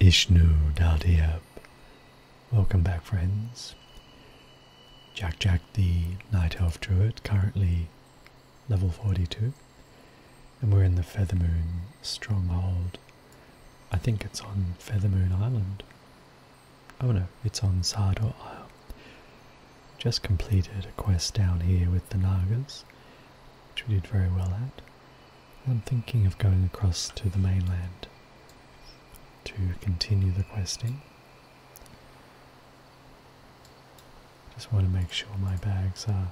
Ishnu Daldiab. Welcome back, friends. Jack Jack, the Night Elf Druid, currently level 42. And we're in the Feathermoon Stronghold. I think it's on Feathermoon Island. Oh no, it's on Sardor Isle. Just completed a quest down here with the Nagas, which we did very well at. I'm thinking of going across to the mainland to continue the questing. Just want to make sure my bags are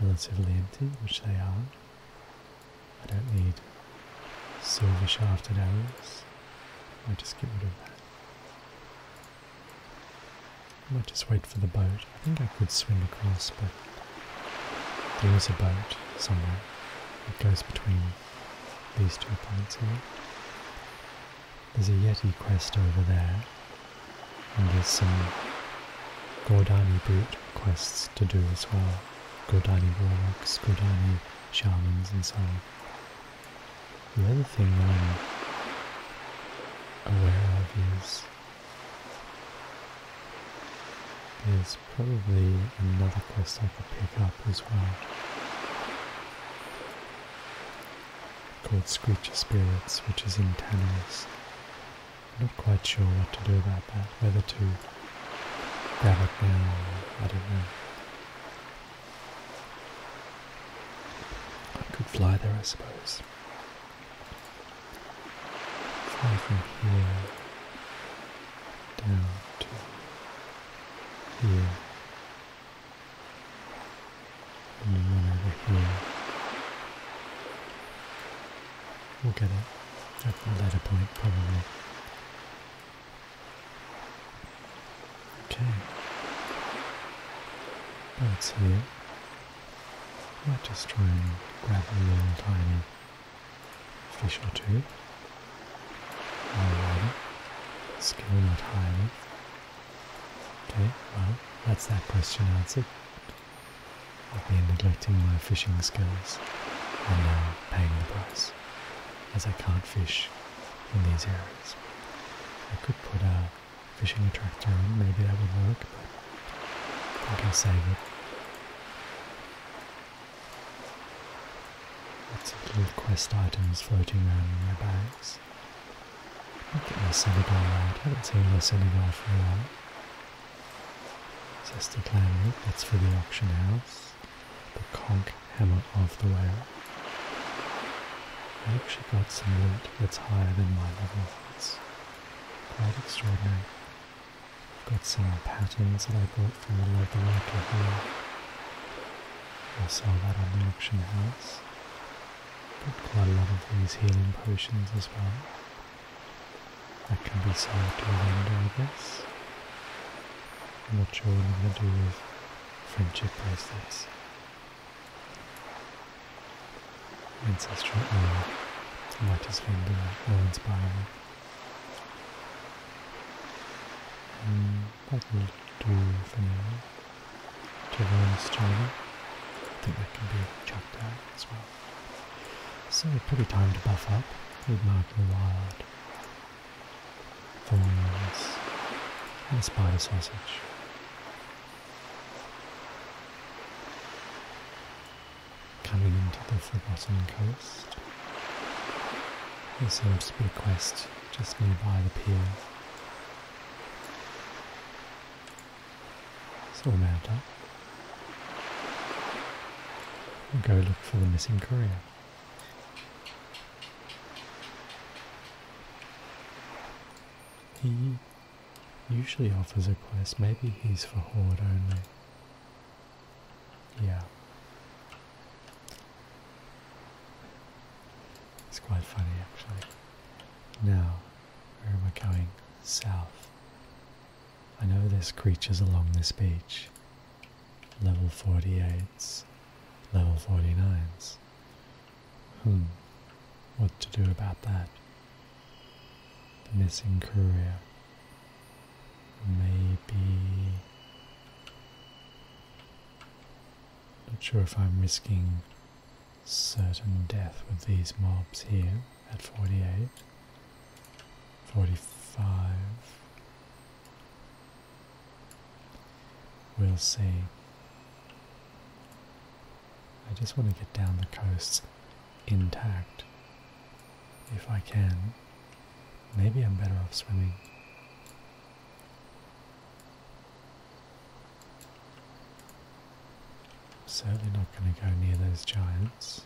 relatively empty, which they are. I don't need silver shafted arrows. I just get rid of that. I might just wait for the boat. I think I could swim across, but there is a boat somewhere that goes between these two points here. There's a Yeti quest over there, and there's some Gordani Brute quests to do as well. Gordani Warlocks, Gordani Shamans, and so on. The other thing I'm aware of is there's probably another quest I could pick up as well. Called Screecher Spirits, which is in Tanner's. Not quite sure what to do about that, whether to grab it now, I don't know. I could fly there, I suppose. So from here down to here, and then over here. Look at get it at the later point, probably. Okay. That's it. I might just try and grab a little tiny fish or two. Alrighty. Skill not enough. Okay, well, that's that question answered. I've been neglecting my fishing skills and now paying the price, as I can't fish in these areas. I could put out fishing attractor on, maybe that would work, but I think I'll save it. Lots of little quest items floating around in my bags. Look at my out. light, haven't seen my Senegal for a while. Zesty Clan Root, that's for the auction house. The Conch Hammer of the Whale. I actually got some loot that's higher than my level. Quite extraordinary. I've got some patterns that I bought from the local market here. I saw that on the auction house. Got quite a lot of these healing potions as well. That can be sold to a I guess. I'm not sure what I'm going to do with friendship bracelets ancestral oil, lotus finger, will inspire me. And hmm, that will do for now. To learn story, I think that can be chopped out as well. So pretty time to buff up with Marco Wild, Thorns, and Spider Sausage coming into the Forgotten Coast. There seems to be a quest just nearby the pier. So we'll mount up we'll go look for the missing courier. He Usually offers a quest, maybe he's for Horde only. Yeah. It's quite funny actually. Now, where am I going? South. I know there's creatures along this beach. Level 48s, level 49s. Hmm, what to do about that? the missing courier. Maybe. Not sure if I'm risking certain death with these mobs here at 48. 45. We'll see. I just want to get down the coast intact. If I can, maybe I'm better off swimming. certainly not going to go near those giants.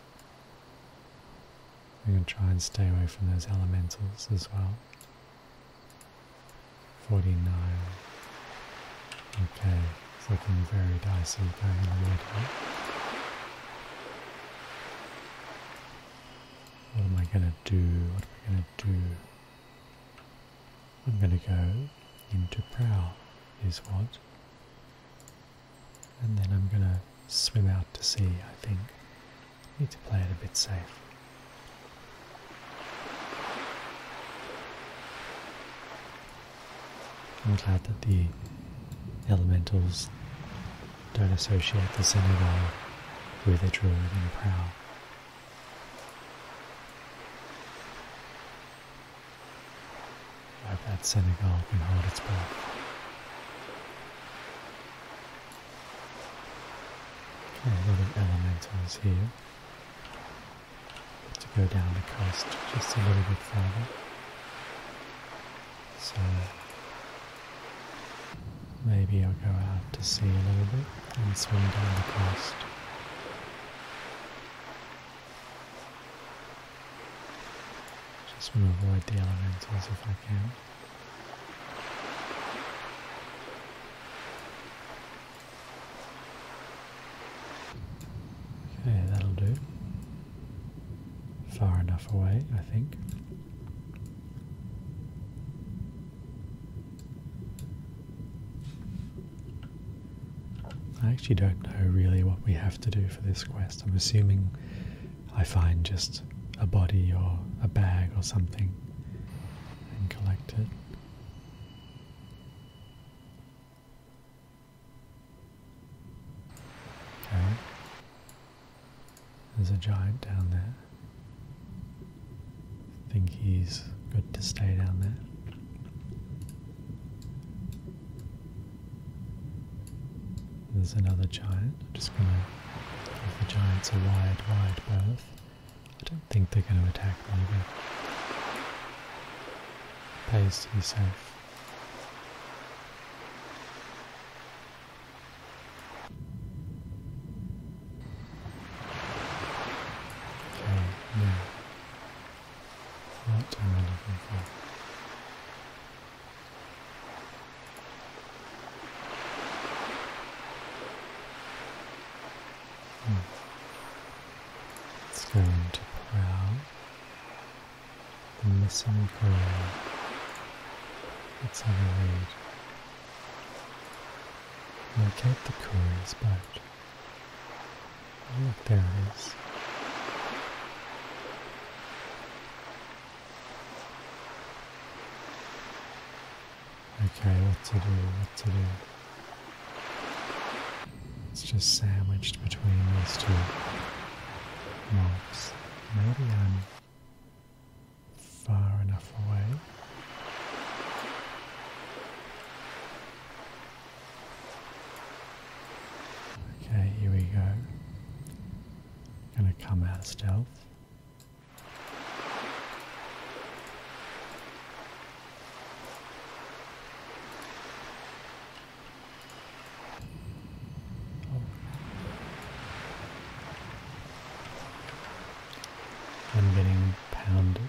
I'm going to try and stay away from those elementals as well. 49. Okay. It's looking very dicey going in the middle. What am I going to do? What am I going to do? I'm going to go into prow is what. And then I'm going to swim out to sea, I think. Need to play it a bit safe. I'm glad that the elementals don't associate the Senegal with a druid and a I hope that Senegal can hold its breath. Okay, a lot of elementals here to go down the coast just a little bit further. So maybe I'll go out to sea a little bit and swim down the coast. Just want to avoid the elements if I can. Okay, that'll do. Far enough away, I think. I actually don't know really what we have to do for this quest. I'm assuming I find just a body or a bag or something and collect it. Okay. There's a giant down there. I think he's good to stay down there. There's another giant. I'm just gonna give the giants a wide, wide berth. I don't think they're gonna attack me, but pays to be safe now. What am I looking for? Hmm. It's going to prowl. The missing card. Let's have a read. Work out the cards, but oh, look, there it is. Okay, what to do, what to do. It's just sandwiched between these two mobs. Maybe I'm far enough away. Okay, here we go. Gonna come out stealth. Oh. I'm getting pounded.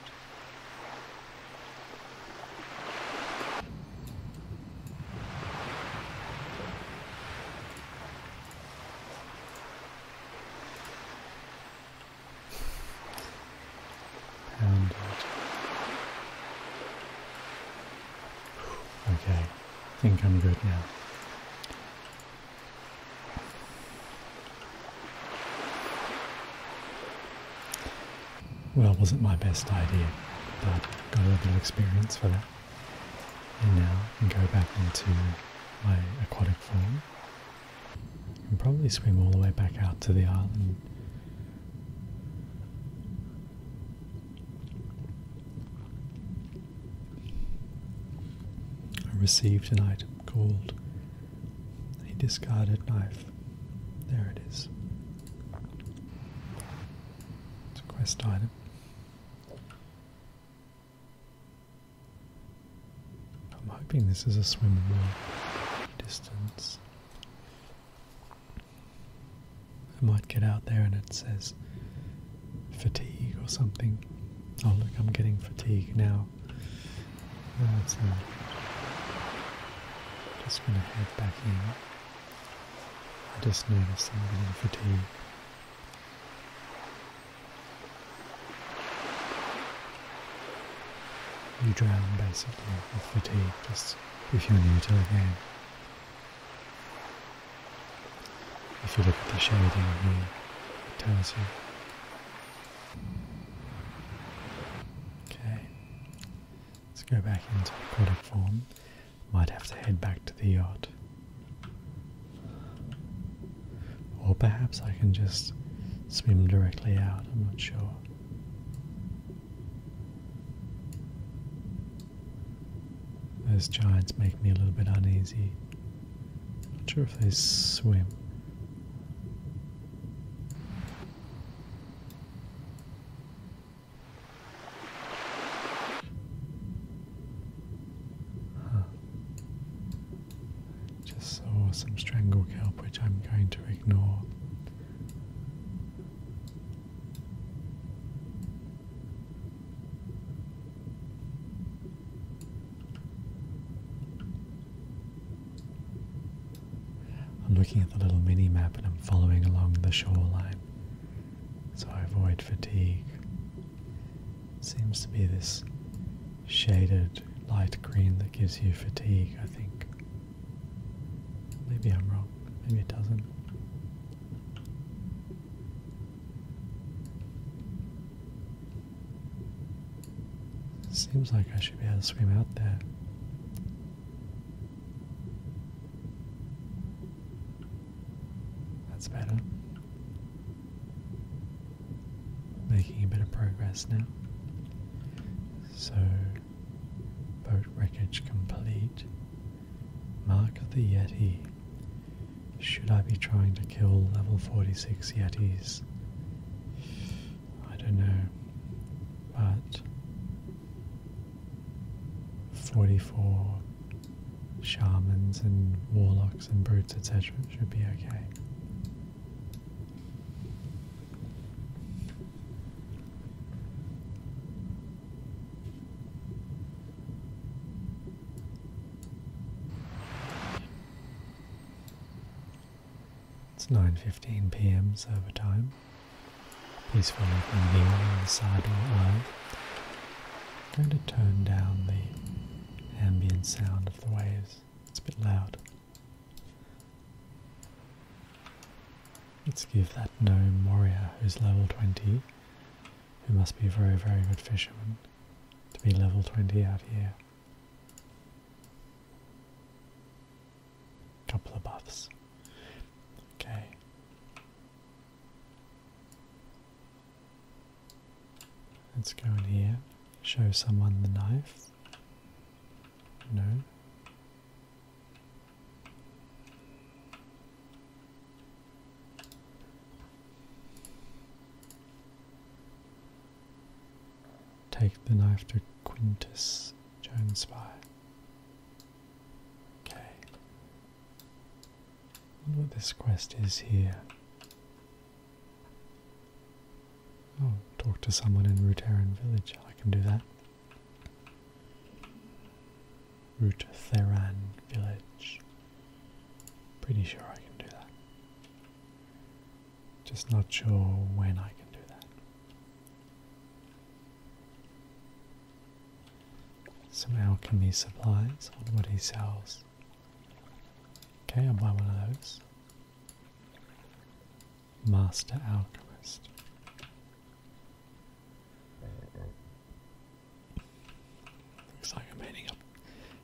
Uh, okay, I think I'm good now. Well, wasn't my best idea, but got a little experience for that. And now I can go back into my aquatic form and probably swim all the way back out to the island I received an item called a discarded knife. There it is. It's a quest item. I'm hoping this is a swimmable distance. I might get out there and it says fatigue or something. Oh, look, I'm getting fatigue now. just going to head back in. I just noticed I'm getting fatigue. You drown basically with fatigue, just if you're new to the game. If you look at the shading here, it tells you. Okay, let's go back into aquatic form. Might have to head back to the yacht. Or perhaps I can just swim directly out, I'm not sure. Those giants make me a little bit uneasy. Not sure if they swim. Just saw some strangle kelp, which I'm going to ignore. I'm looking at the little mini map and I'm following along the shoreline so I avoid fatigue. Seems to be this shaded light green that gives you fatigue, I think. Maybe I'm wrong. Maybe it doesn't. Seems like I should be able to swim out there. That's better. Making a bit of progress now. So Boat wreckage complete. Mark of the Yeti. Should I be trying to kill level 46 Yetis? I don't know. But 44 shamans and warlocks and brutes, etc., should be okay. It's 9.15 pm server time. Peaceful evening here on the Sardor I'm going to turn down the ambient sound of the waves. It's a bit loud. Let's give that gnome warrior who's level 20, who must be a very, very good fisherman, to be level 20 out here. Couple of buffs. Okay. Let's go in here, show someone the knife. No. Take the knife to Quintus Jones Okay. I wonder what this quest is here. Oh, talk to someone in Rutaran village. I can do that. Route Theran village. Pretty sure I can do that. Just not sure when I can do that. Some alchemy supplies what he sells. Okay, I'll buy one of those. Master Alchemist. Looks like I'm heading up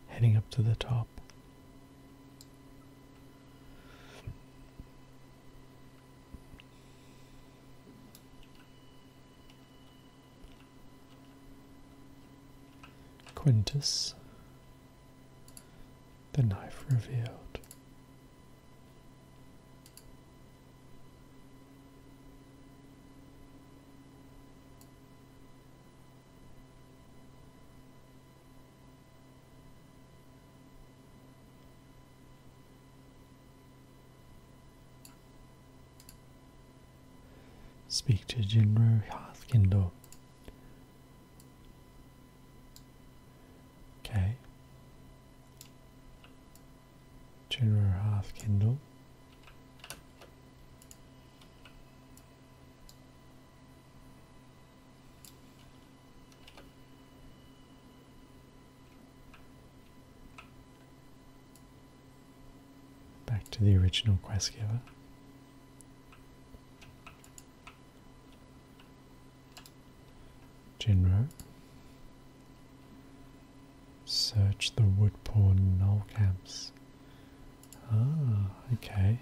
heading up to the top. Quintus, the knife revealed. Speak to Jinro Hathkindo. Okay. General half Kindle. Back to the original quest giver. Jinro. Search the Woodpawn Null Camps. Ah, okay.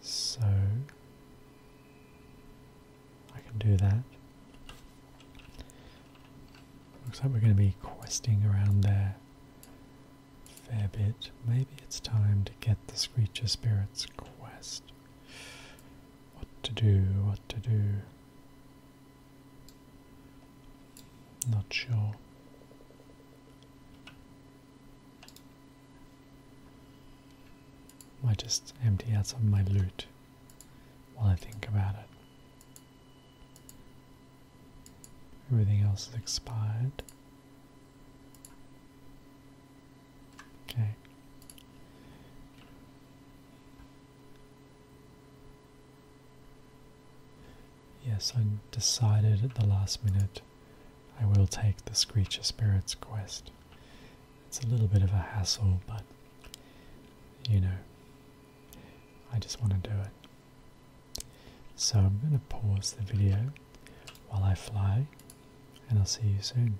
So I can do that. Looks like we're going to be questing around there a fair bit. Maybe it's time to get the Screecher Spirits quest. What to do, what to do. Not sure. Might just empty out some of my loot while I think about it. Everything else is expired. Okay. Yes, I decided at the last minute I will take the Screecher Spirits quest. It's a little bit of a hassle, but you know, I just want to do it. So I'm going to pause the video while I fly, and I'll see you soon.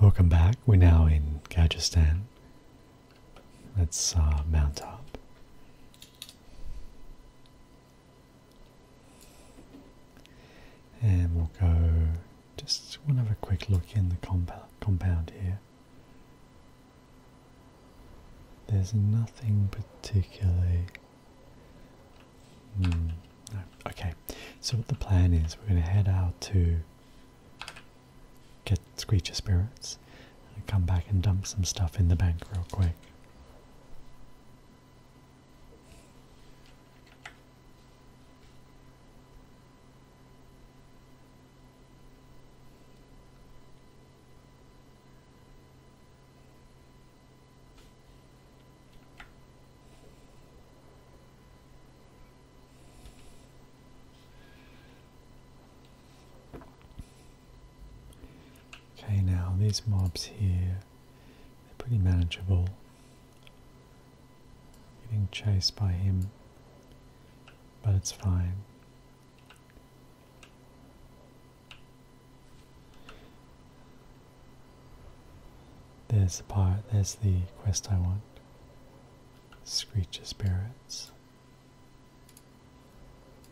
Welcome back. We're now in Kyrgyzstan. Let's uh, mount up. And we'll go, just want to have a quick look in the compound here. There's nothing particularly Hmm. Okay, so what the plan is, we're going to head out to get Screecher Spirits and come back and dump some stuff in the bank real quick. Okay, now these mobs here, they're pretty manageable. Getting chased by him, but it's fine. There's the part, there's the quest I want. Screecher spirits.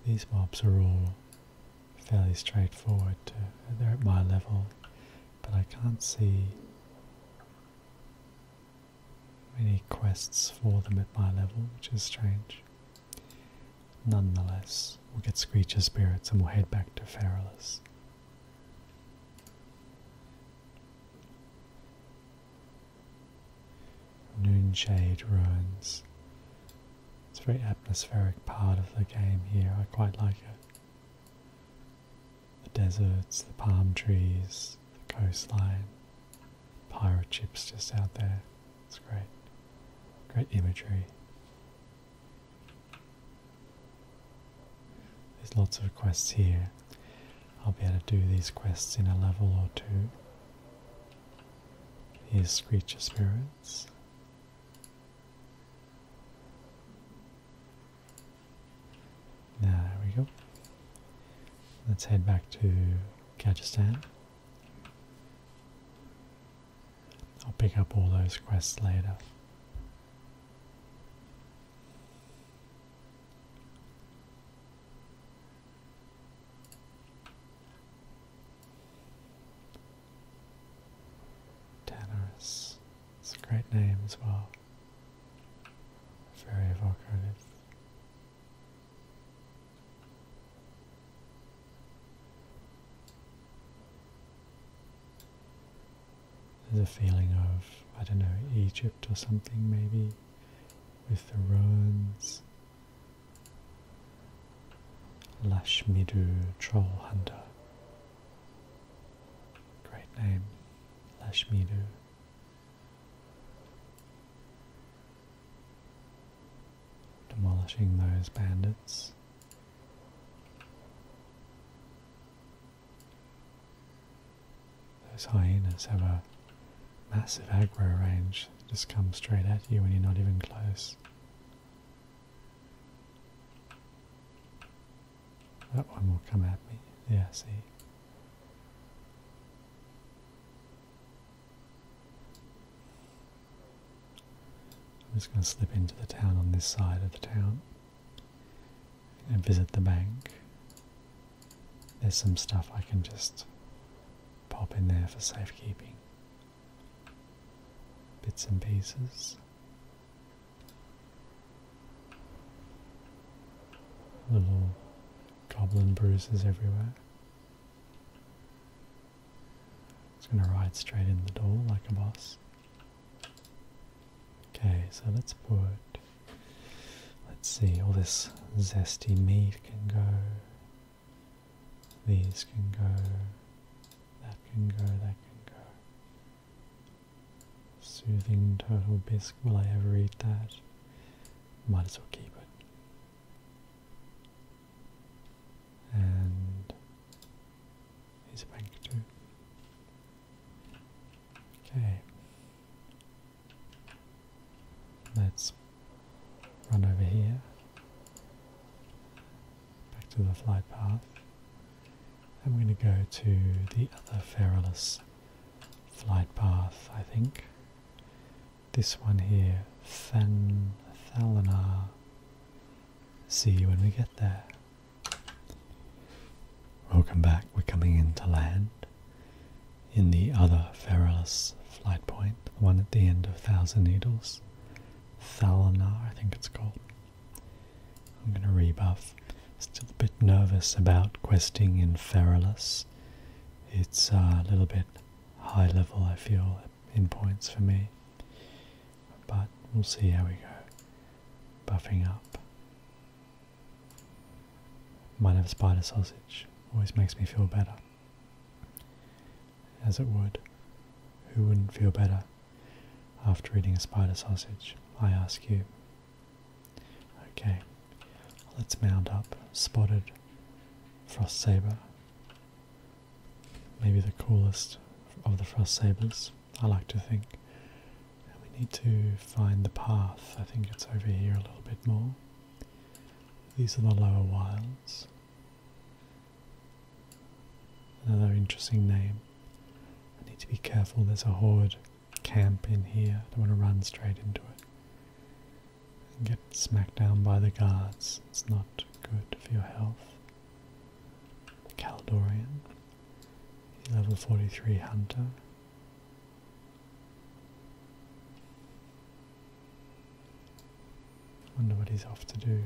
These mobs are all fairly straightforward. they're at my level, but I can't see any quests for them at my level, which is strange. Nonetheless, we'll get Screecher's spirits and we'll head back to Feralus. Noonshade Ruins. It's a very atmospheric part of the game here, I quite like it. The deserts, the palm trees, the coastline, pirate ships just out there. It's great. Great imagery. There's lots of quests here. I'll be able to do these quests in a level or two. These Screecher Spirits. there we go. Let's head back to Kajistan. I'll pick up all those quests later. Tannerus. It's a great name as well. Very evocative. There's a feeling of, I don't know, Egypt or something maybe, with the ruins. Lashmidu Troll Hunter. Great name, Lashmidu. Demolishing those bandits. Those hyenas have a massive aggro range that just come straight at you when you're not even close. That one will come at me. Yeah, see. I'm just going to slip into the town on this side of the town and visit the bank. There's some stuff I can just pop in there for safekeeping. Bits and pieces. Little goblin bruises everywhere. It's going to ride straight in the door like a boss. Okay, so let's put, let's see, all this zesty meat can go, these can go, that can go, that can go. Soothing turtle biscuit. will I ever eat that? Might as well keep it and his bank too. Okay, let's run over here back to the flight path. I'm going to go to the other Feralus flight path, I think. This one here, Than Thalanar See you when we get there. Welcome back. We're coming in to land in the other Feralus flight point, the one at the end of Thousand Needles. Thalanar, I think it's called. I'm going to rebuff. Still a bit nervous about questing in Feralus. It's uh, a little bit high level, I feel, in points for me. But we'll see how we go. Buffing up. Might have spider sausage. Always makes me feel better. As it would. Who wouldn't feel better after eating a spider sausage? I ask you. Okay, let's mount up Spotted Frost Saber maybe the coolest of the frost sabers, I like to think. we need to find the path. I think it's over here a little bit more. These are the lower wilds. Another interesting name. I need to be careful, there's a horde camp in here. I don't want to run straight into it and get smacked down by the guards. It's not good for your health. Caledorian, level 43 Hunter. Wonder what he's off to do.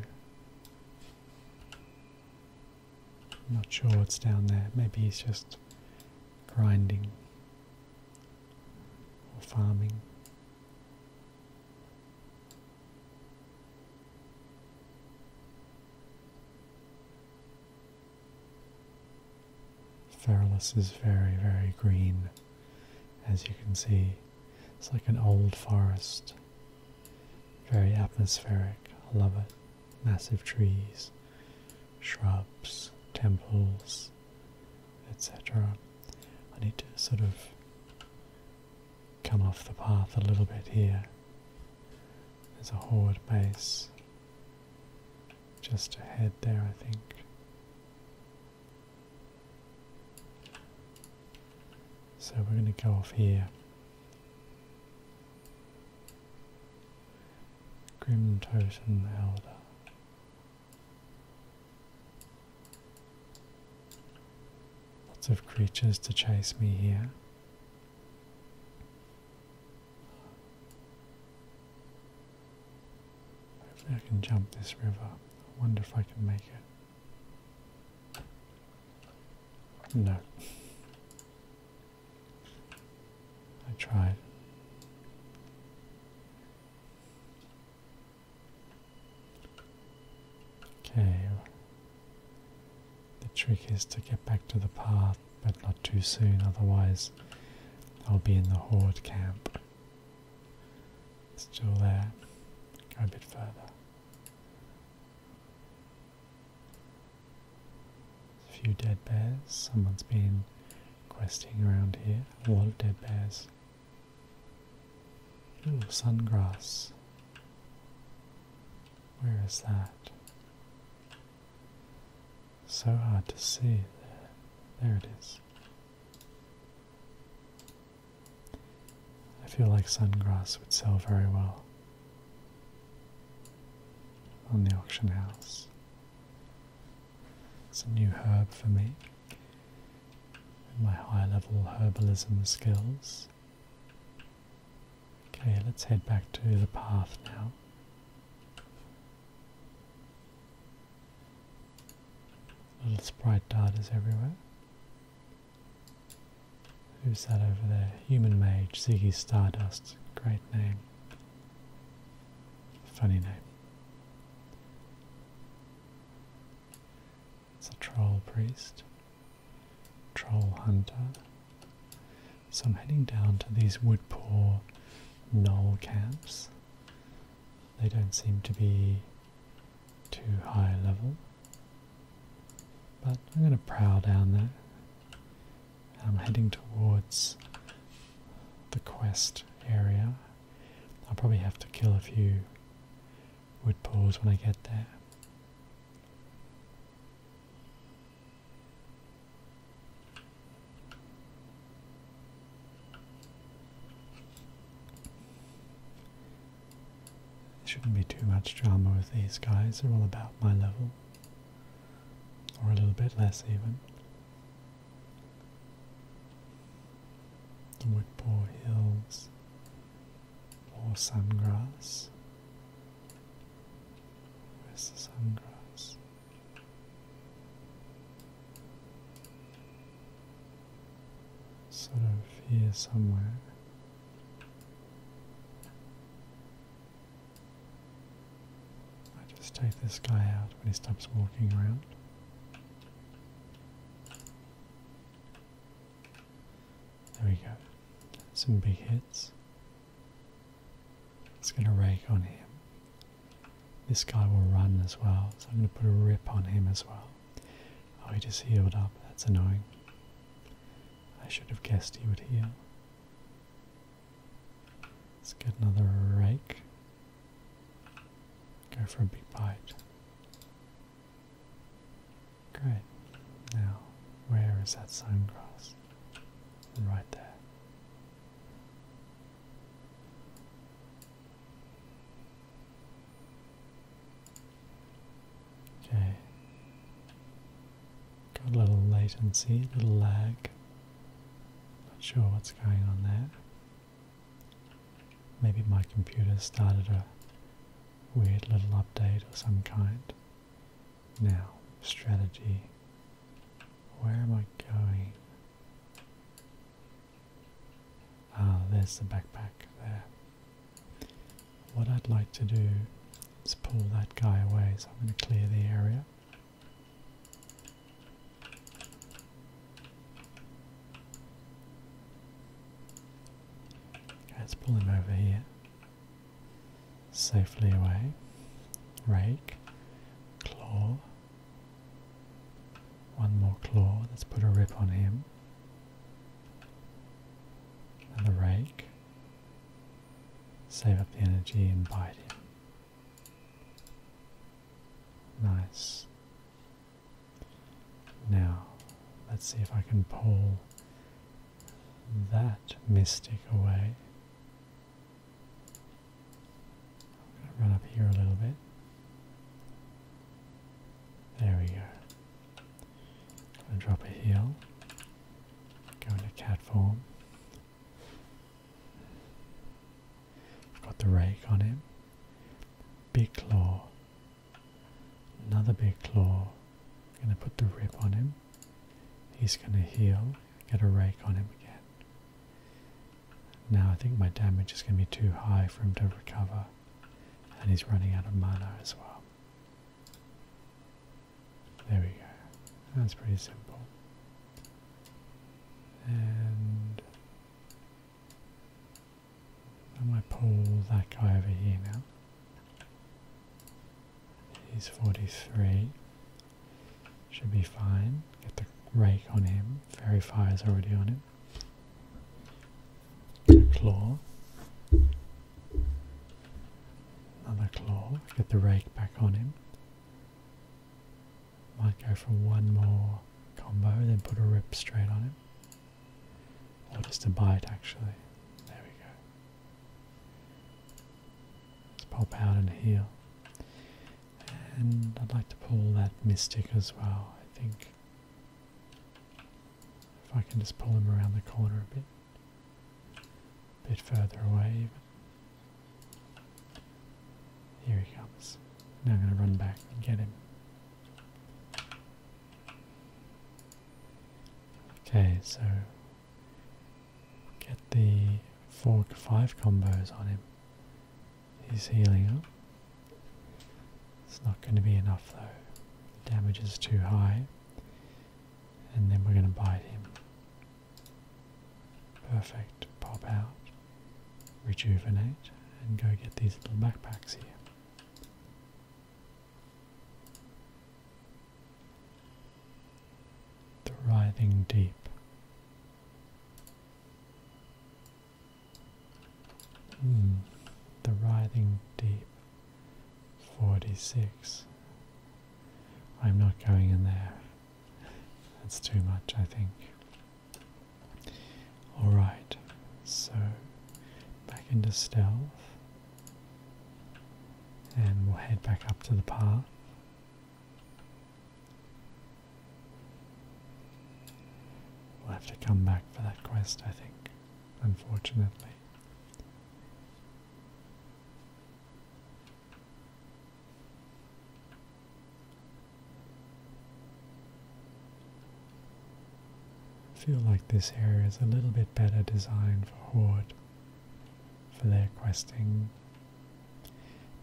not sure what's down there. Maybe he's just grinding or farming. Theralis is very, very green, as you can see. It's like an old forest. Very atmospheric. I love it. Massive trees, shrubs, temples, etc. I need to sort of come off the path a little bit here. There's a horde base just ahead there, I think. So we're going to go off here. Grim Elder. Lots of creatures to chase me here. Hopefully I can jump this river. I wonder if I can make it. No. I tried. Okay. The trick is to get back to the path, but not too soon, otherwise, I'll be in the horde camp. Still there. Go a bit further. There's a few dead bears. Someone's been questing around here. A lot of dead bears. Ooh, grass. Where is that? So hard to see. There, it is. I feel like sungrass would sell very well on the auction house. It's a new herb for me. my high level herbalism skills. Okay, let's head back to the path now. Little sprite darters everywhere. Who's that over there? Human Mage, Ziggy Stardust. Great name. Funny name. It's a troll priest, troll hunter. So I'm heading down to these woodpaw knoll camps. They don't seem to be too high level. But I'm going to prowl down there. I'm heading towards the quest area. I'll probably have to kill a few woodpaws when I get there. Shouldn't be too much drama with these guys, they're all about my level. Or a little bit less even. The Woodpore Hills. More sungrass. Where's the sungrass? Sort of here somewhere. I just take this guy out when he stops walking around. There we go. Some big hits. It's going to rake on him. This guy will run as well, so I'm going to put a rip on him as well. Oh, he just healed up. That's annoying. I should have guessed he would heal. Let's get another rake. Go for a big bite. Great. Now, where is that sungrass? Right there. Okay. Got a little latency, a little lag. Not sure what's going on there. Maybe my computer started a weird little update of some kind. Now, strategy. Where am I going? Ah, there's the backpack there. What I'd like to do is pull that guy away, so I'm going to clear the area. Let's pull him over here. Safely away. Rake. Claw. One more claw. Let's put a rip on him. And the rake. Save up the energy and bite him. Nice. Now, let's see if I can pull that mystic away. I'm going to run up here a little bit. There we go. i drop a heel, go into cat form. Got the rake on him. Big claw, Another big claw. I'm Gonna put the rip on him. He's gonna heal. Get a rake on him again. Now I think my damage is gonna be too high for him to recover. And he's running out of mana as well. There we go. That's pretty simple. And I might pull that guy over here now. He's 43. Should be fine. Get the rake on him. Fairy fire's already on him. claw. Another claw. Get the rake back on him. Might go for one more combo, then put a rip straight on him. Notice the bite actually. There we go. Let's pop out and heal. And I'd like to pull that mystic as well, I think. If I can just pull him around the corner a bit. A bit further away even. Here he comes. Now I'm going to run back and get him. Okay, so get the four five combos on him. He's healing up. It's not going to be enough though. The damage is too high. And then we're going to bite him. Perfect. Pop out. Rejuvenate and go get these little backpacks here the writhing deep. Hmm. the writhing deep. 46. I'm not going in there. That's too much, I think. Alright, so back into stealth. And we'll head back up to the path. We'll have to come back for that quest, I think, unfortunately feel like this area is a little bit better designed for Horde, for their questing.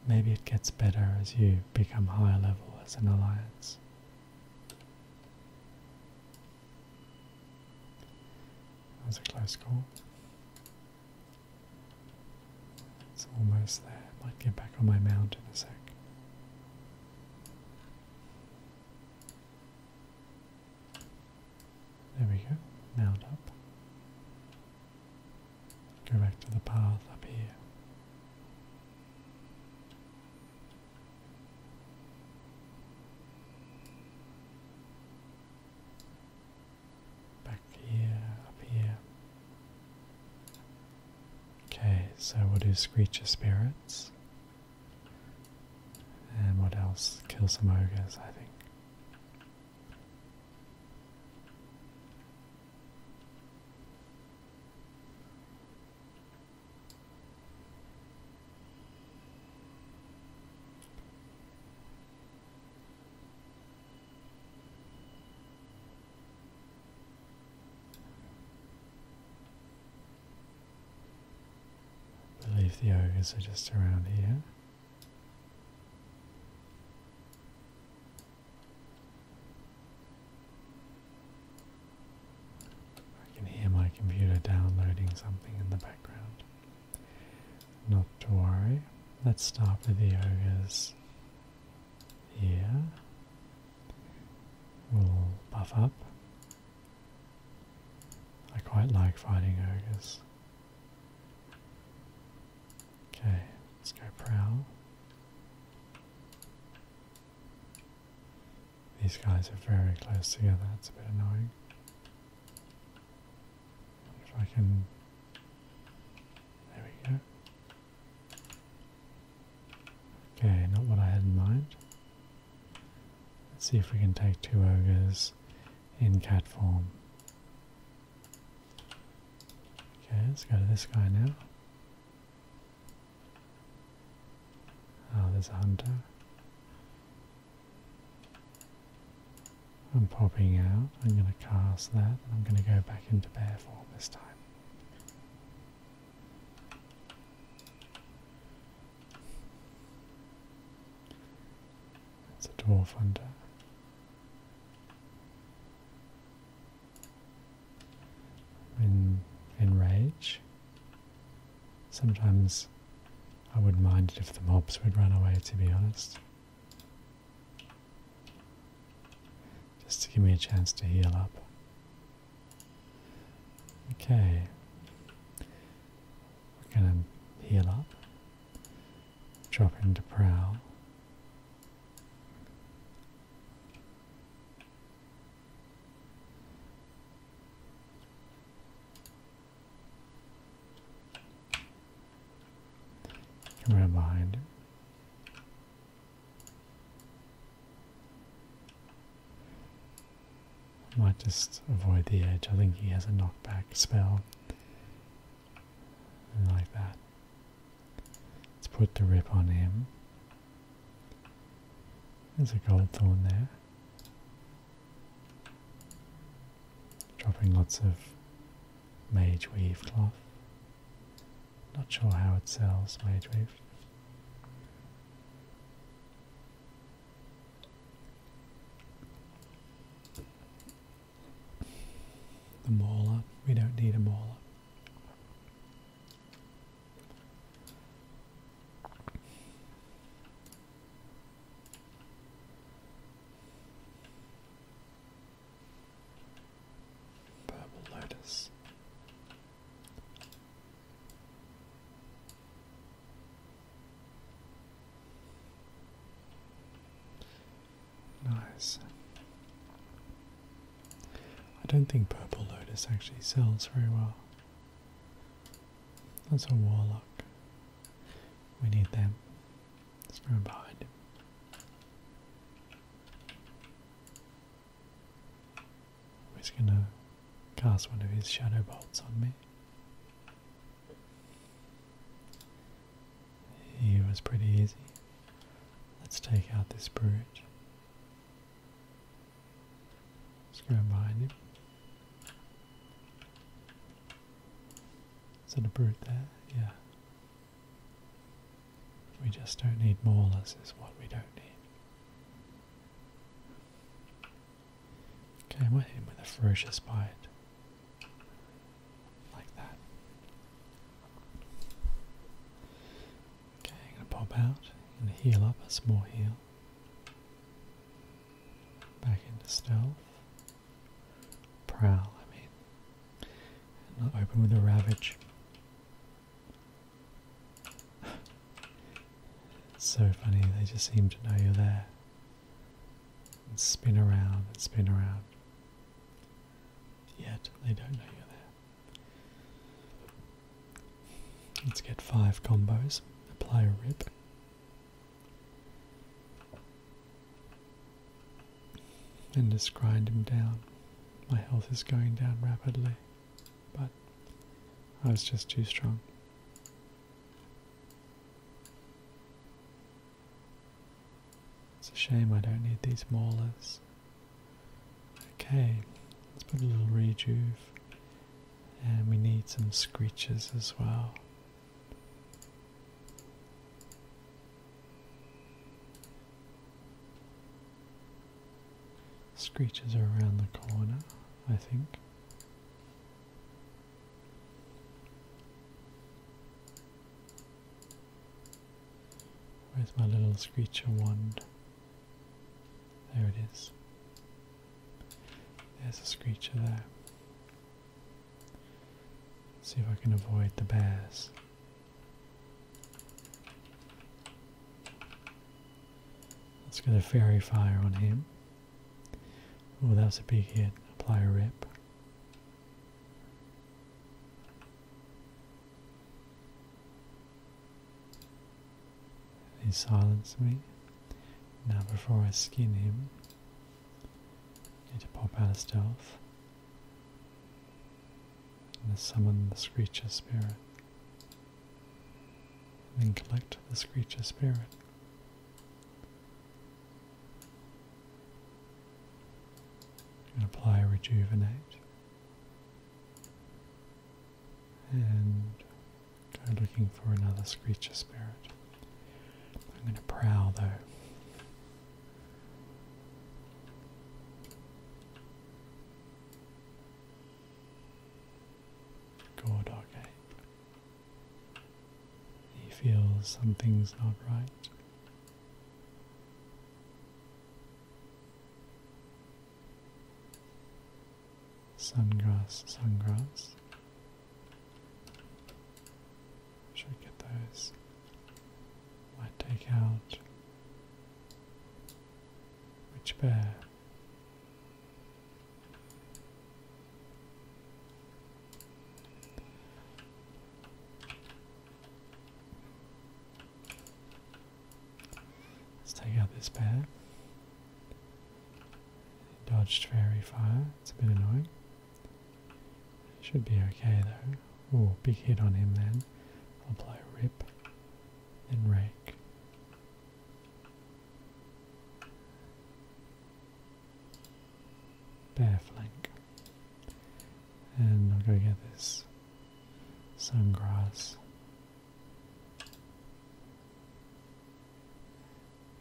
Maybe it gets better as you become higher level as an alliance. That was a close call. It's almost there. Might get back on my mount in a sec. There we go, mount up. Go back to the path up here. Back here, up here. Okay, so we'll do Screecher Spirits. And what else? Kill some ogres, I think. I believe the ogres are just around here. I can hear my computer downloading something in the background. Not to worry. Let's start with the ogres here. We'll buff up I quite like fighting ogres. Okay, let's go prowl. These guys are very close together, that's a bit annoying. If I can. There we go. Okay, not what I had in mind. Let's see if we can take two ogres in cat form. Okay, let's go to this guy now. Oh, there's a hunter. I'm popping out. I'm going to cast that. I'm going to go back into bear form this time. It's a dwarf under. In in rage. Sometimes I wouldn't mind it if the mobs would run away to be honest. Just to give me a chance to heal up. Okay. We're gonna heal up. Drop into prowl. Come around behind might just avoid the edge. I think he has a knockback spell. Like that. Let's put the rip on him. There's a gold thorn there. Dropping lots of mage weave cloth. Not sure how it sells mage weave. The mauler. We don't need a mauler. Purple Nice. I don't think Purple Lotus actually sells very well. That's a warlock. We need them. Let's He's gonna cast one of his shadow bolts on me. He was pretty easy. Let's take out this brute. Let's go behind him. Is that a brute there? Yeah. We just don't need more. This is what we don't need. Okay, I might hit him with a ferocious bite. Like that. Okay, I'm gonna pop out and heal up a small heal. Back into stealth. Prowl, I mean. And I'll open with a ravage so funny, they just seem to know you're there. And spin around and spin around. Yet they don't know you're there. Let's get five combos, apply a rip. And just grind him down. My health is going down rapidly but I was just too strong. It's a shame I don't need these maulers. Okay, let's put a little rejuve. And we need some screeches as well. Screechers are around the corner, I think. Where's my little screecher wand? There it is. There's a screecher there. see if I can avoid the bears. Let's get a fairy fire on him. Oh, that's a big hit. Apply a rip. He silenced me. Now before I skin him, I need to pop out of stealth. And summon the Screecher Spirit and collect the Screecher Spirit. And apply Rejuvenate. And go looking for another Screecher Spirit. I'm going to prowl though. Okay. He feels something's not right. Sungrass, sungrass. Should we get those. Might take out which bear. Let's take out this pair. Dodged fairy fire. It's a bit annoying. Should be okay though. Oh, big hit on him then. I'll play rip and rake bare flank. And I'll go get this sungrass.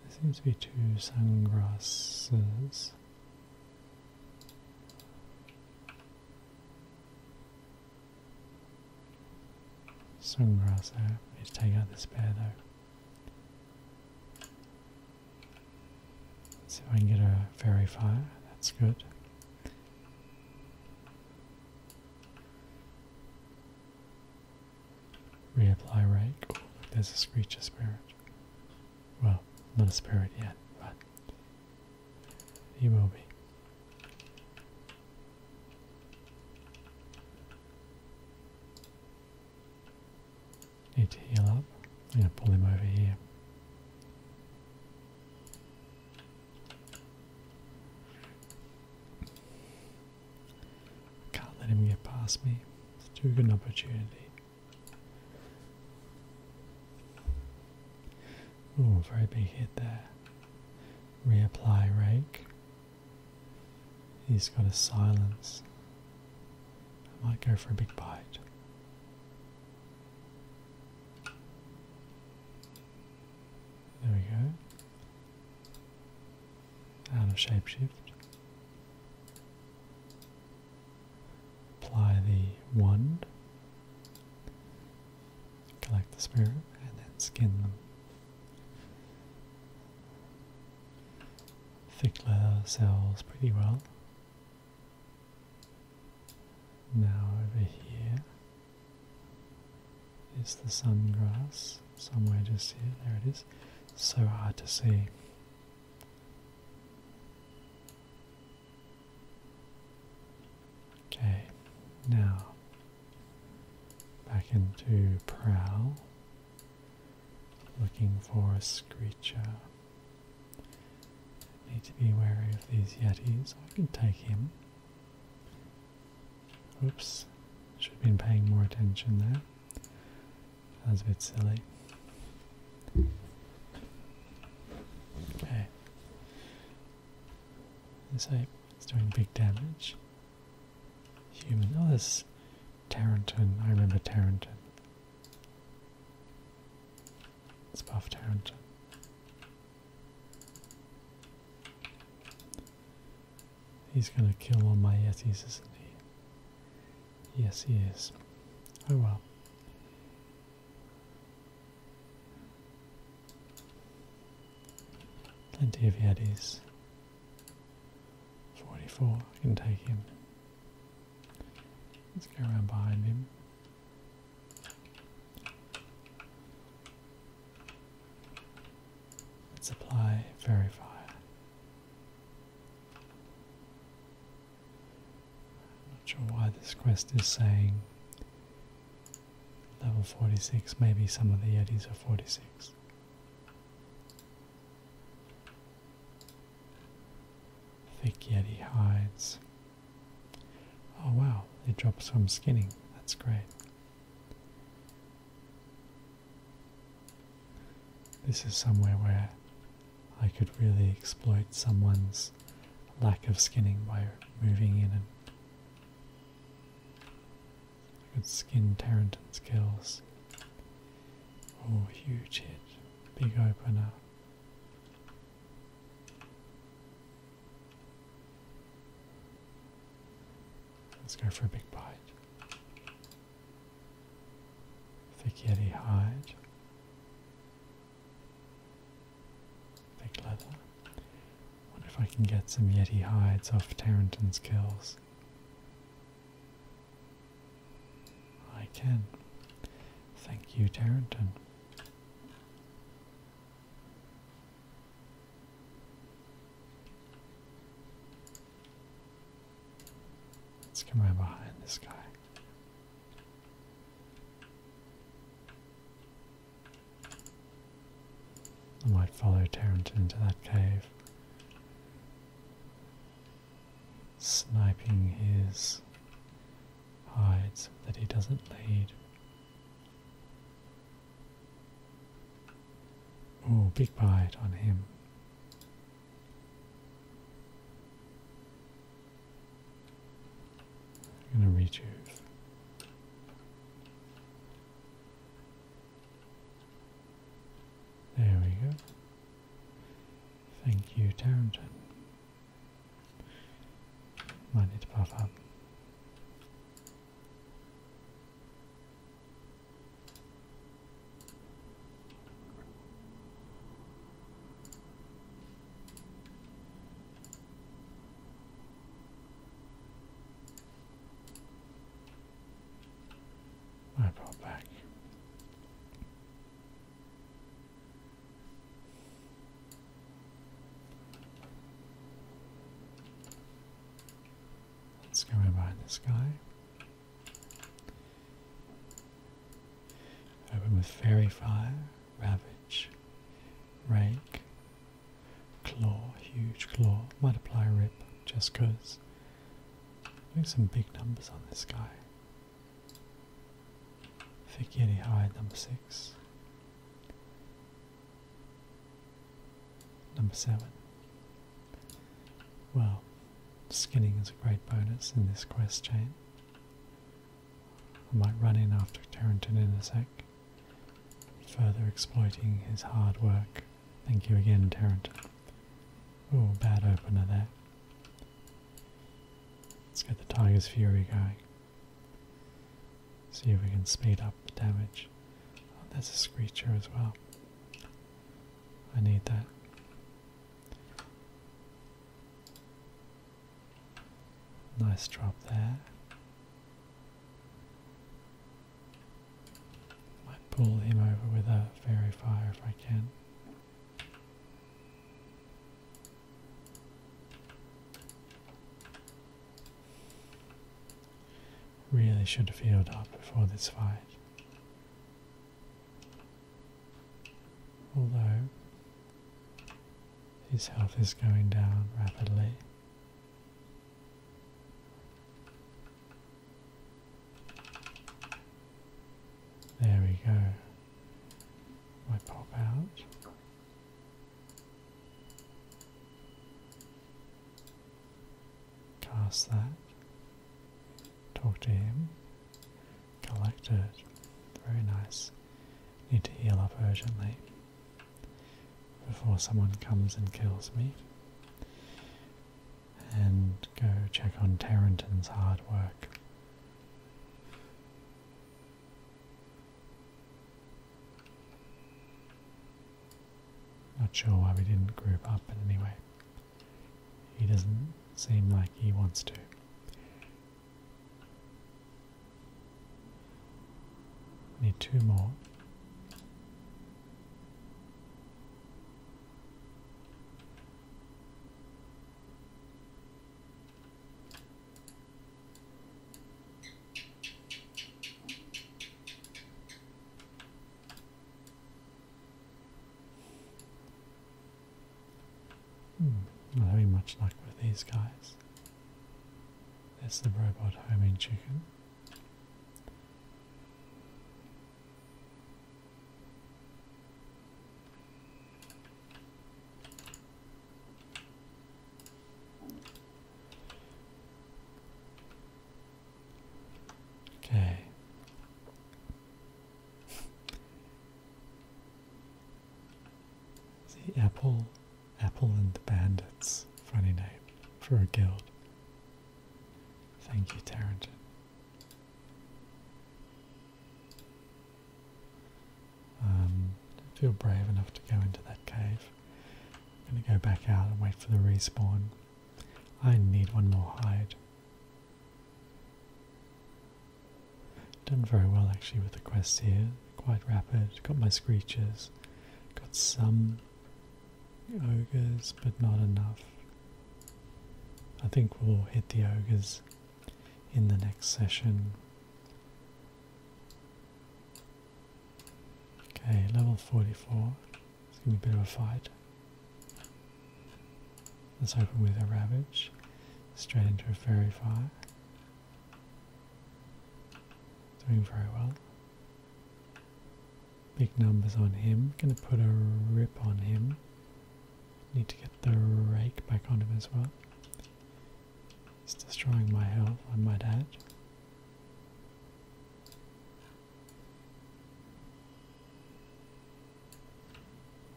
There seems to be two sungrasses. Sungrass out. let's take out this bear though. So us I can get a fairy fire. That's good. Reapply right? there's a screech of spirit. Well, not a spirit yet, but he will be. Need to heal up. i going to pull him over here. Can't let him get past me. It's too good an opportunity. Ooh, very big hit there. Reapply rake. He's got a silence. I might go for a big bite. There we go. Out of shapeshift. Apply the wand collect the spirit, and then skin them. Thick leather sells pretty well. Now over here is the sun grass, somewhere just here, there it is. So hard to see. Okay, now Back into prow, looking for a Screecher. Need to be wary of these Yetis. I can take him. Oops, should have been paying more attention there. That was a bit silly. Okay. This ape is doing big damage. Human. Oh, this Taranton. I remember Taranton. It's buff Taranton. He's gonna kill all my Yetis, isn't he? Yes, he is. Oh well. Plenty of yaddies. 44, I can take him. Let's go around behind him. Let's apply verify. I'm not sure why this quest is saying Level 46, maybe some of the Yetis are 46. Thick Yeti hides. Oh wow, it drops from skinning. That's great. This is somewhere where I could really exploit someone's lack of skinning by moving in and I could skin Tarranton's kills. Oh, huge hit. Big opener. Let's go for a big bite. Thick Yeti hide. Thick leather. Wonder if I can get some Yeti hides off Tarranton's kills. I can. Thank you, Tarranton. Let's come right behind this guy. I might follow Tarrant into that cave. Sniping his hides that he doesn't lead. Oh, big bite on him. I'm gonna rejuve. There we go. Thank you, Tarrington. Might need to buff up. I brought back. Let's go in behind this guy. Open with fairy fire, ravage, rake, Claw, huge claw. Might apply rip just because. Doing some big numbers on this guy. Thick Yeti Hide, number 6. Number 7. Well, skinning is a great bonus in this quest chain. I might run in after Terranton in a sec further exploiting his hard work. Thank you again, Tarrant. Oh, bad opener there. Let's get the Tiger's Fury going. See if we can speed up the damage. Oh, there's a Screecher as well. I need that. Nice drop there. Might pull him over with a fairy fire if I can. Really should have healed up before this fight. Although his health is going down rapidly. There we go. I pop out. Cast that. Talk to him. Collect it. Very nice. Need to heal up urgently before someone comes and kills me. And go check on Tarranton's hard work. Not sure why we didn't group up, but anyway, he doesn't seem like he wants to. Need two more. Hmm, not having much luck with these guys. There's the robot homing chicken. Okay. The apple Apple and the Bandits. Funny name for a guild. Thank you, Tarrington. Um, feel brave enough to go into that cave. I'm going to go back out and wait for the respawn. I need one more hide. Done very well actually with the quest here. Quite rapid. Got my screeches. Got some ogres, but not enough. I think we'll hit the ogres in the next session. Okay, level 44. It's going to be a bit of a fight. Let's open with a Ravage. Straight into a Fairy Fire. Doing very well. Big numbers on him. Gonna put a rip on him. Need to get the rake back on him as well. It's destroying my health, I might add.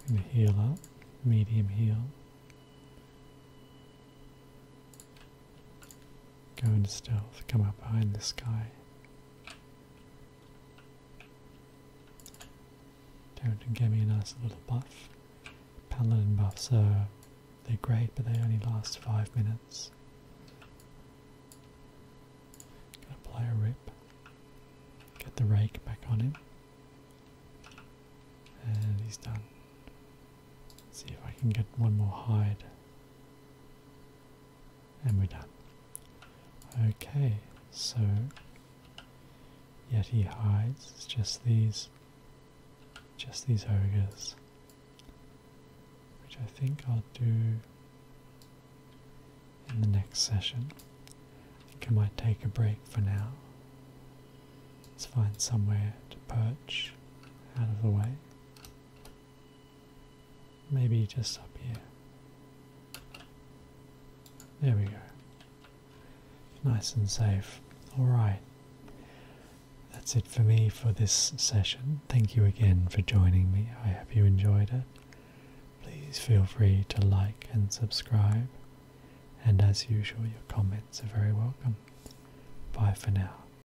Gonna heal up. Medium heal. Go into stealth, come out behind this guy. Don't give me a nice little buff. Paladin buffs are they're great, but they only last five minutes. going a rip. Get the rake back on him. And he's done. Let's see if I can get one more hide. And we're done. Okay, so Yeti hides, it's just these just these ogres. Which I think I'll do in the next session. I think I might take a break for now. Let's find somewhere to perch out of the way. Maybe just up here. There we go. Nice and safe. Alright. That's it for me for this session. Thank you again for joining me. I hope you enjoyed it. Please feel free to like and subscribe. And as usual, your comments are very welcome. Bye for now.